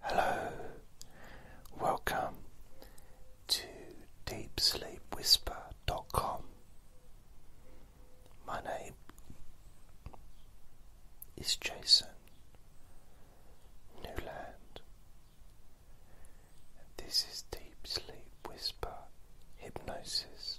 Hello, welcome to DeepSleepWhisper.com. My name is Jason Newland, and this is Deep Sleep Whisper Hypnosis.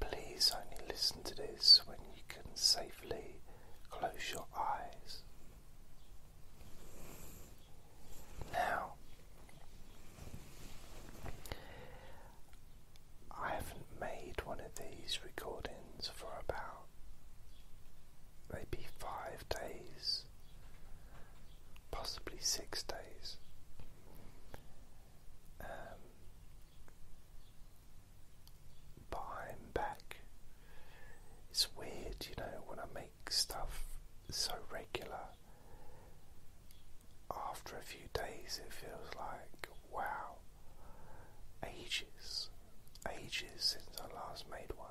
Please only listen to this when you can safely close your eyes. Now, I haven't made one of these recordings for about maybe five days, possibly six days. Um, behind back. It's weird, you know, when I make stuff so regular, after a few days it feels like, wow, ages, ages since I last made one.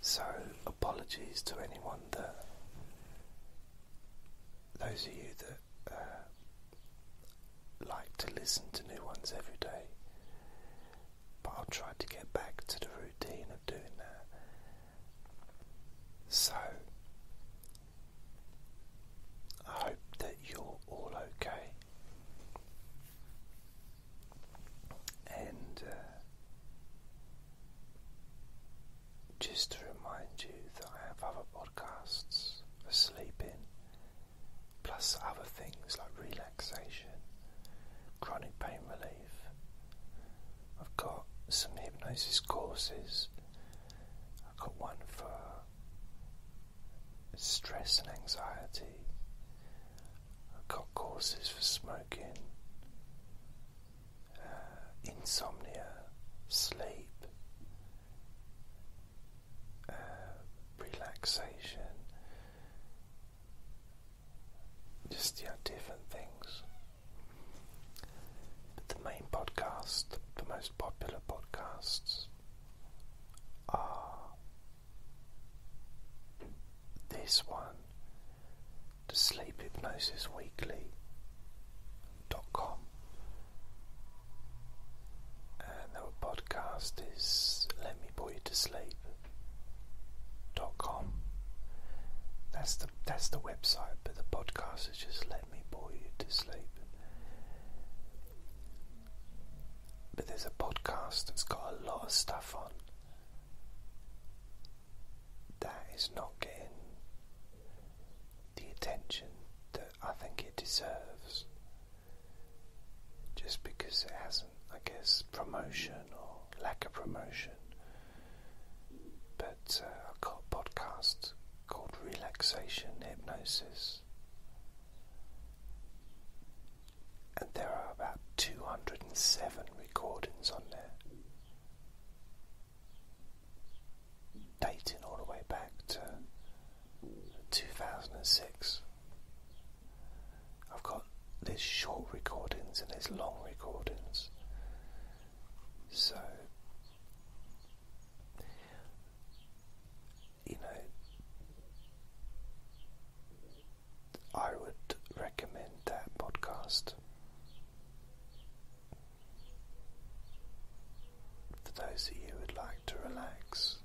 So, apologies to anyone that, those of you that uh, like to listen to new ones every day, but I'll try to get back to the routine of doing that. So, I hope that you're all okay, and uh, just to remind you that I have other podcasts for sleeping, plus other things like relaxation, chronic pain relief. I've got some hypnosis courses. I've got one for stress and anxiety. I've got courses for smoking, uh, insomnia, sleep, uh, relaxation, just yeah, different things. But the main podcast, the most popular podcasts, are this one, the Sleep Hypnosis Weekly. Dot com and our podcast is Let Me Put You to Sleep dot com. That's the that's the website, but the podcast is just Let Me Bore You to Sleep. But there's a podcast that's got a lot of stuff on that is not getting the attention that I think it deserves just because it hasn't, I guess, promotion or lack of promotion. But uh, I've got a podcast called Relaxation Hypnosis. And there are about 207 recordings on there dating all the way back to 2006. I've got these short recordings and these long recordings. So, you know, I would recommend that podcast. For those of you who would like to relax,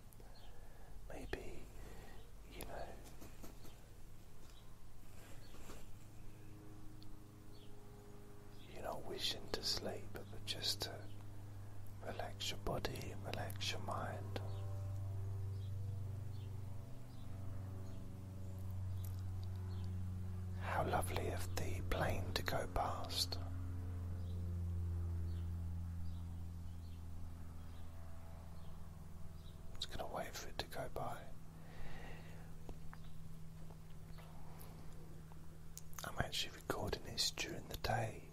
maybe, you know, you're not wishing to sleep, but just to relax your body, relax your mind. How lovely of the plane to go past. I'm just going to wait for it to go by. I'm actually recording this during the day.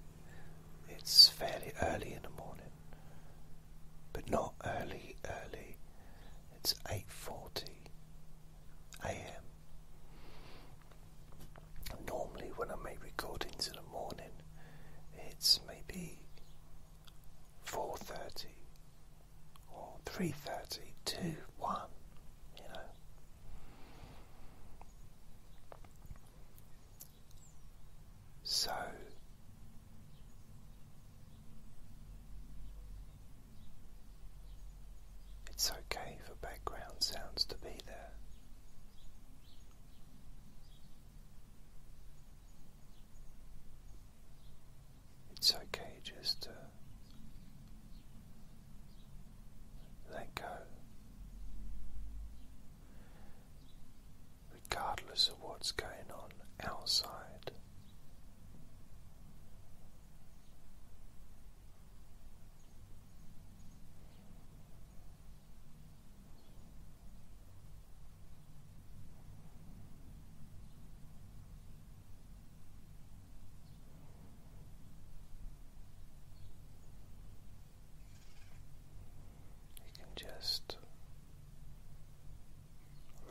It's fairly early in the morning, but not early, early. It's 8:40 a.m. Normally, when I make recordings in the morning, it's maybe four thirty or three thirty, two, one, you know. So. It's okay for background sounds to be there. It's okay just to let go, regardless of what's going on outside. You can just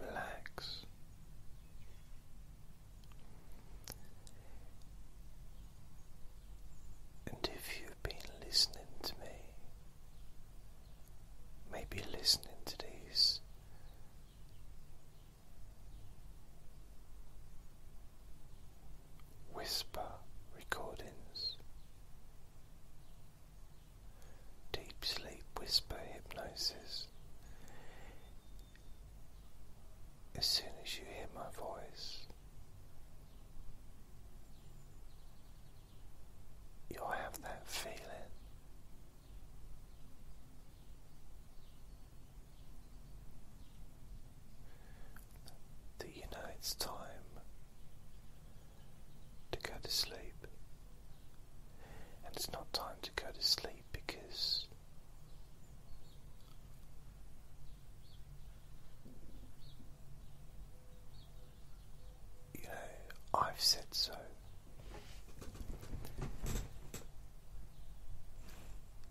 relax and if you've been listening to me, maybe listening to these whisper recordings, deep sleep whisper hypnosis as soon as you hear my voice, you'll have that feeling. That you know it's time to go to sleep, and it's not time to go to sleep because you know, I've said so.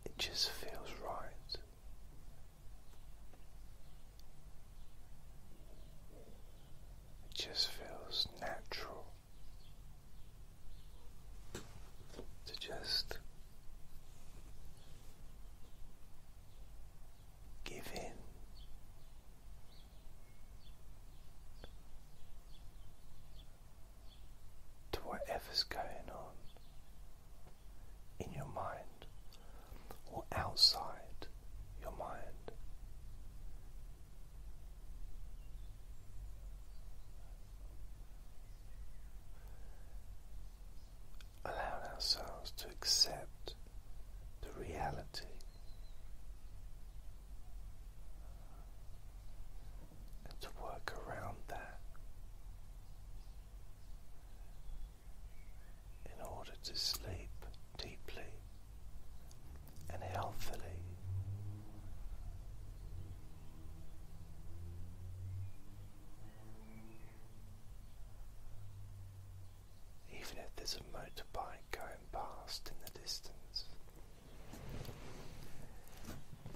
It just feels right. It just feels natural to just give in. To whatever's going on in your mind or outside your mind, allowing ourselves to accept the reality and to work around that in order to sleep deeply and healthily even if there's a motorbike going past in the distance,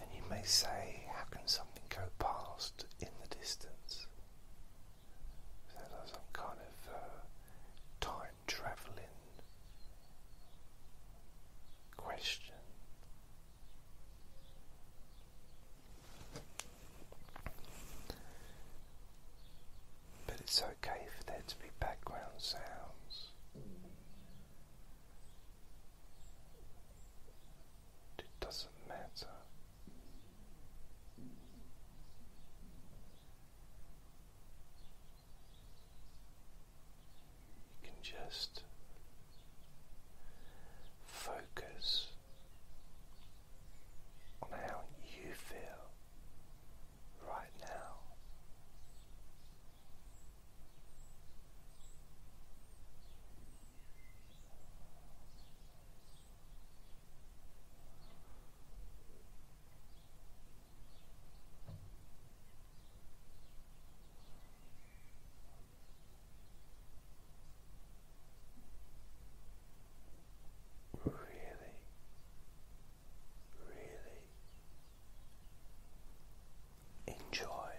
and you may say, How can something go past in the distance? So there's some kind of uh, time travelling question but it's okay for there to be background sounds it doesn't matter you can just focus on how you feel right now really, really enjoy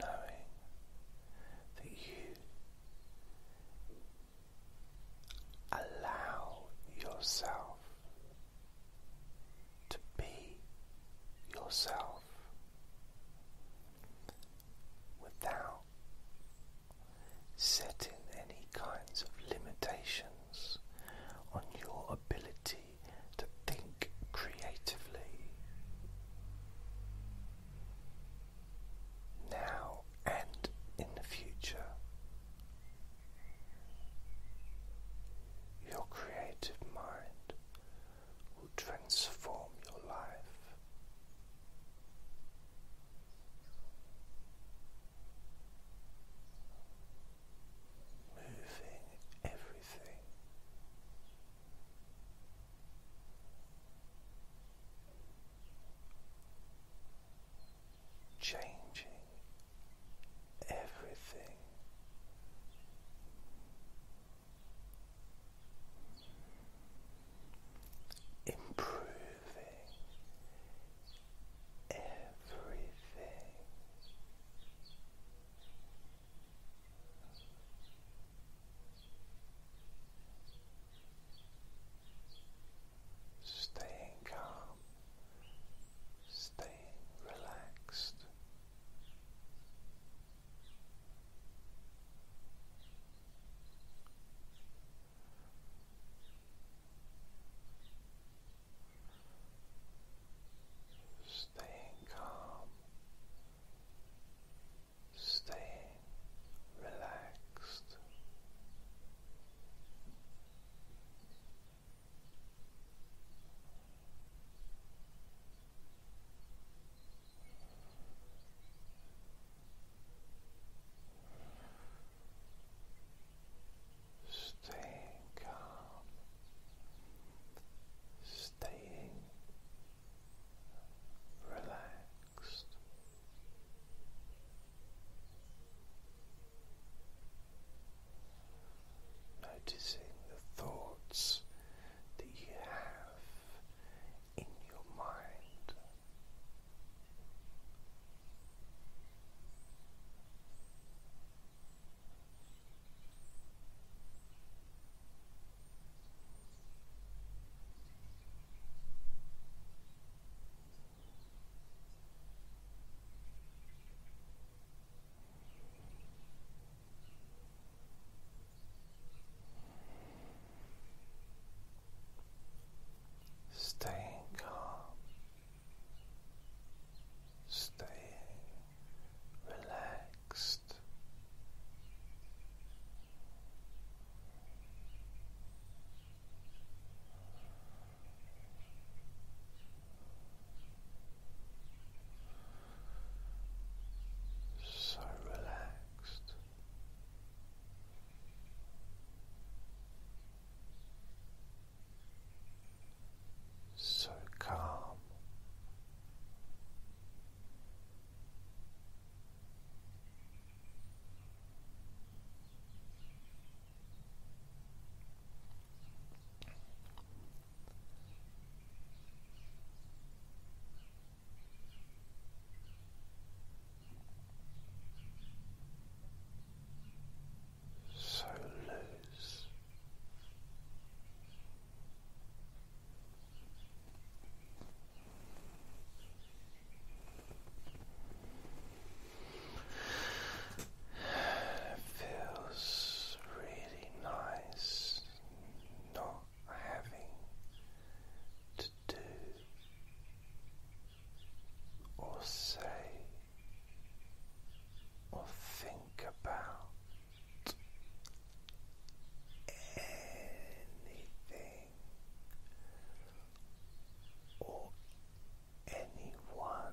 knowing that you allow yourself to be yourself without setting any kinds of limitations on your ability to think creatively now and in the future. Your creative mind will transform your life. Moving everything changing everything improving everything. Staying calm, staying relaxed, Staying calm, staying relaxed. Staying calm, staying relaxed. Noticing the thoughts that you have in your mind. Staying calm, staying relaxed so relaxed. So calm, so loose feels really nice not having to do or say or think about anything or anyone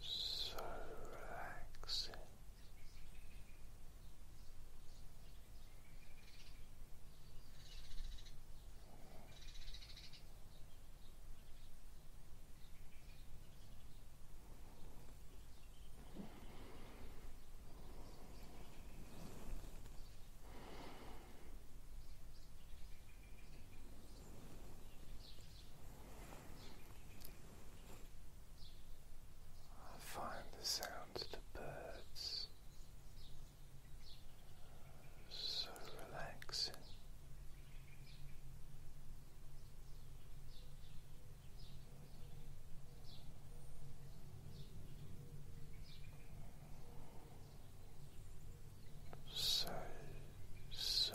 so relaxing. Relaxing. I find the sounds of the birds so relaxing. So, so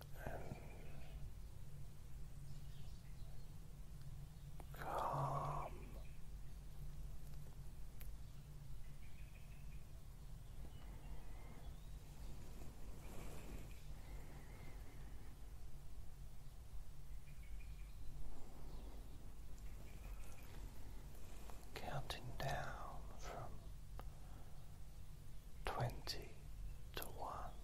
and calm. Counting down from twenty to one.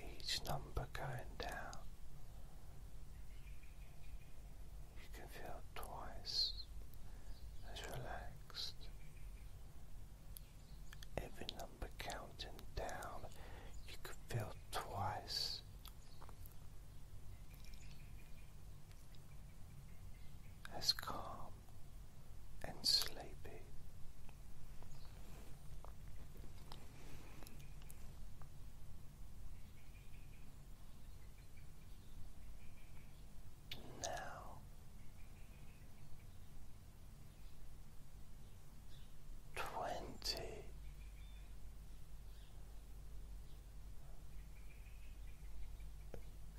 Each number going down, you can feel twice as relaxed. Every number counting down, you can feel twice as calm and sleepy now. Twenty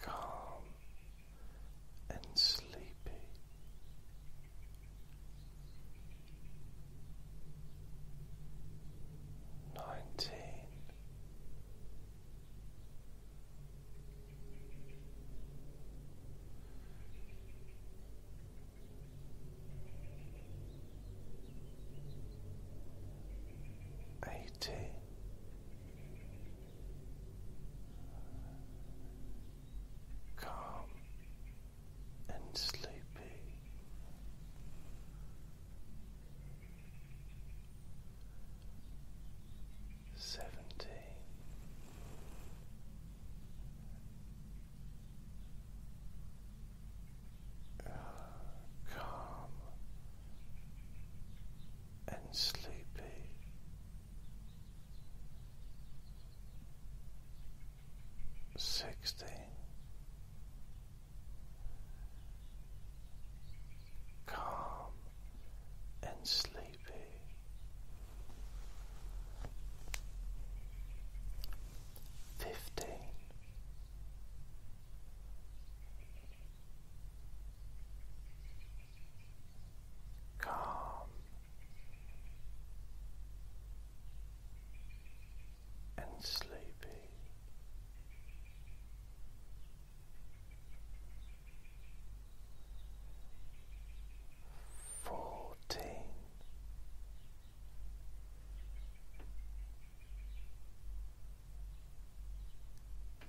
calm and sleepy. Nineteen. Eighty. Calm and sleepy. Seventy calm and sleepy. Sixteen. Calm and sleepy. Fifteen calm and sleepy. Fourteen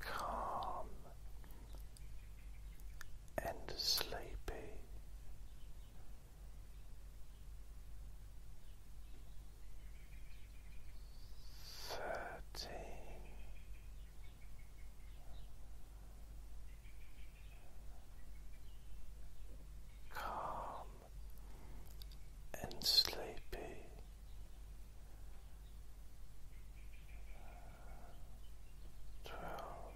calm and sleepy. Thirteen. Calm and sleepy. Twelve.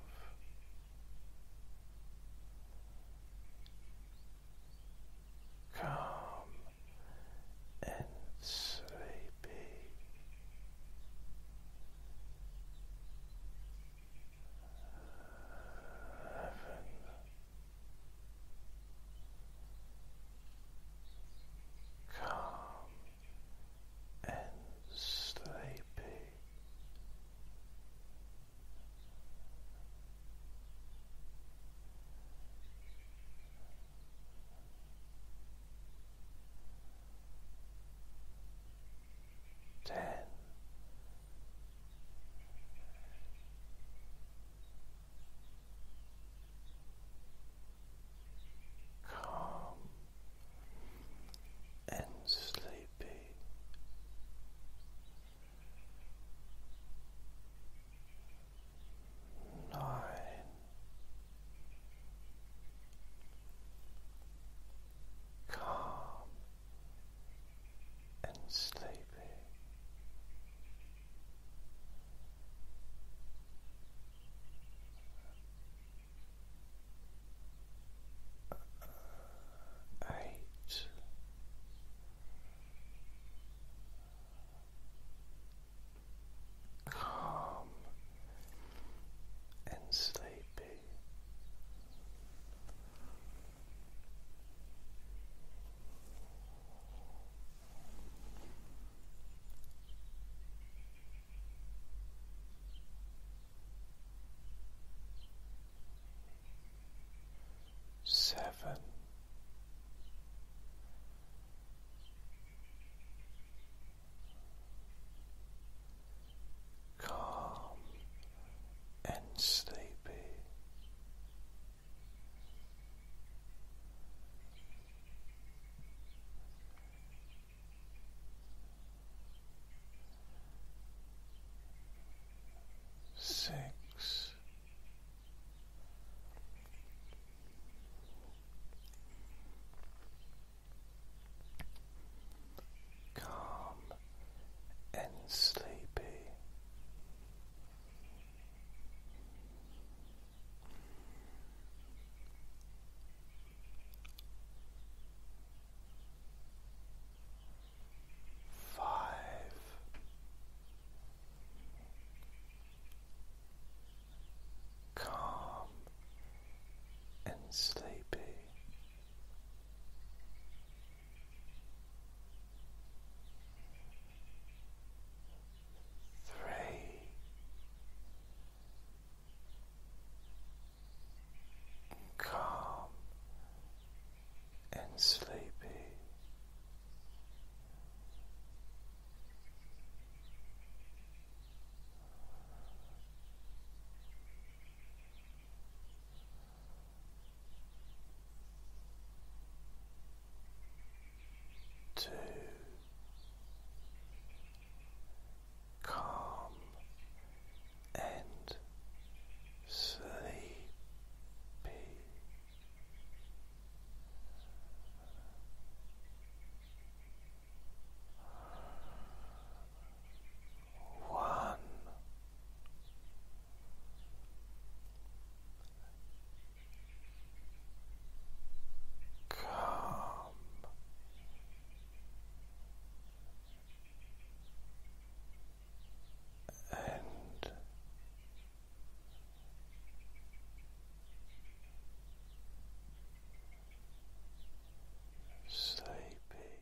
Calm and sleepy. Eleven calm and sleepy. Ten calm and sleepy. Nine. Calm and sleepy. Eight. Calm and sleepy. Seven. Calm and sleepy, Six, calm and sleepy. Five. Calm and sleepy three, calm and sleepy to calm and sleepy. One Calm. And sleepy.